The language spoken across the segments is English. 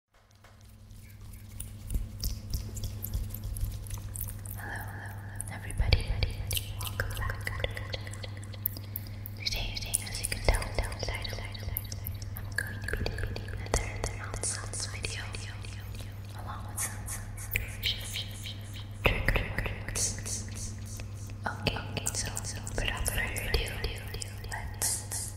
Hello, hello, hello, everybody. Welcome back. Today, as you can tell, outside, I'm going to be doing another nonsense video along with some trick tricks. Okay, okay, so without further ado, let's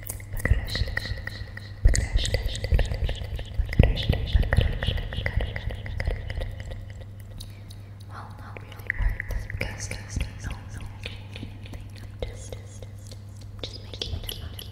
Well, not really worth because there's no no changing anything. I'm just just just making it funny.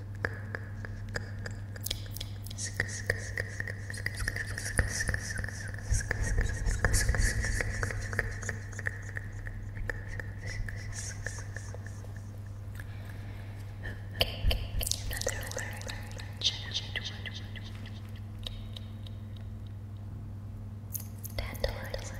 Dandelion, dandelion, dandelion,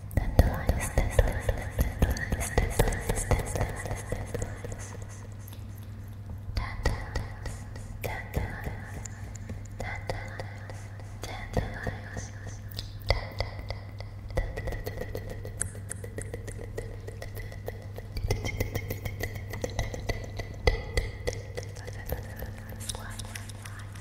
Squat, squat, squat,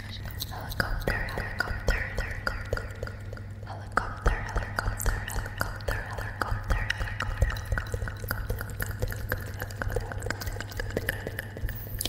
helicopter, helicopter, helicopter, helicopter, helicopter, helicopter, helicopter, helicopter, helicopter, helicopter, helicopter, helicopter,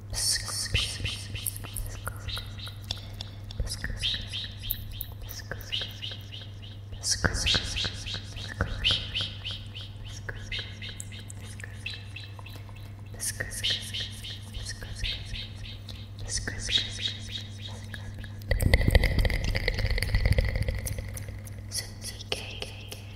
Suzuki,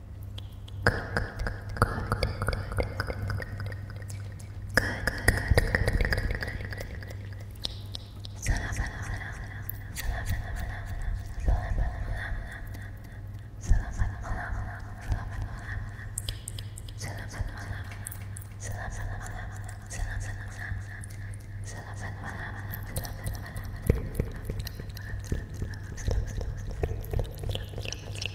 Salam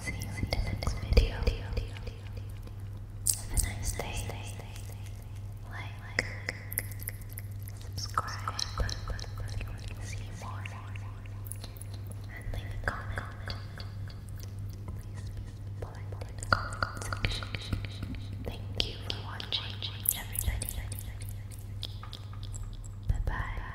See you in the next video. Have a nice day. Like, subscribe, and leave a comment. Please be polite Thank you for watching, Bye bye.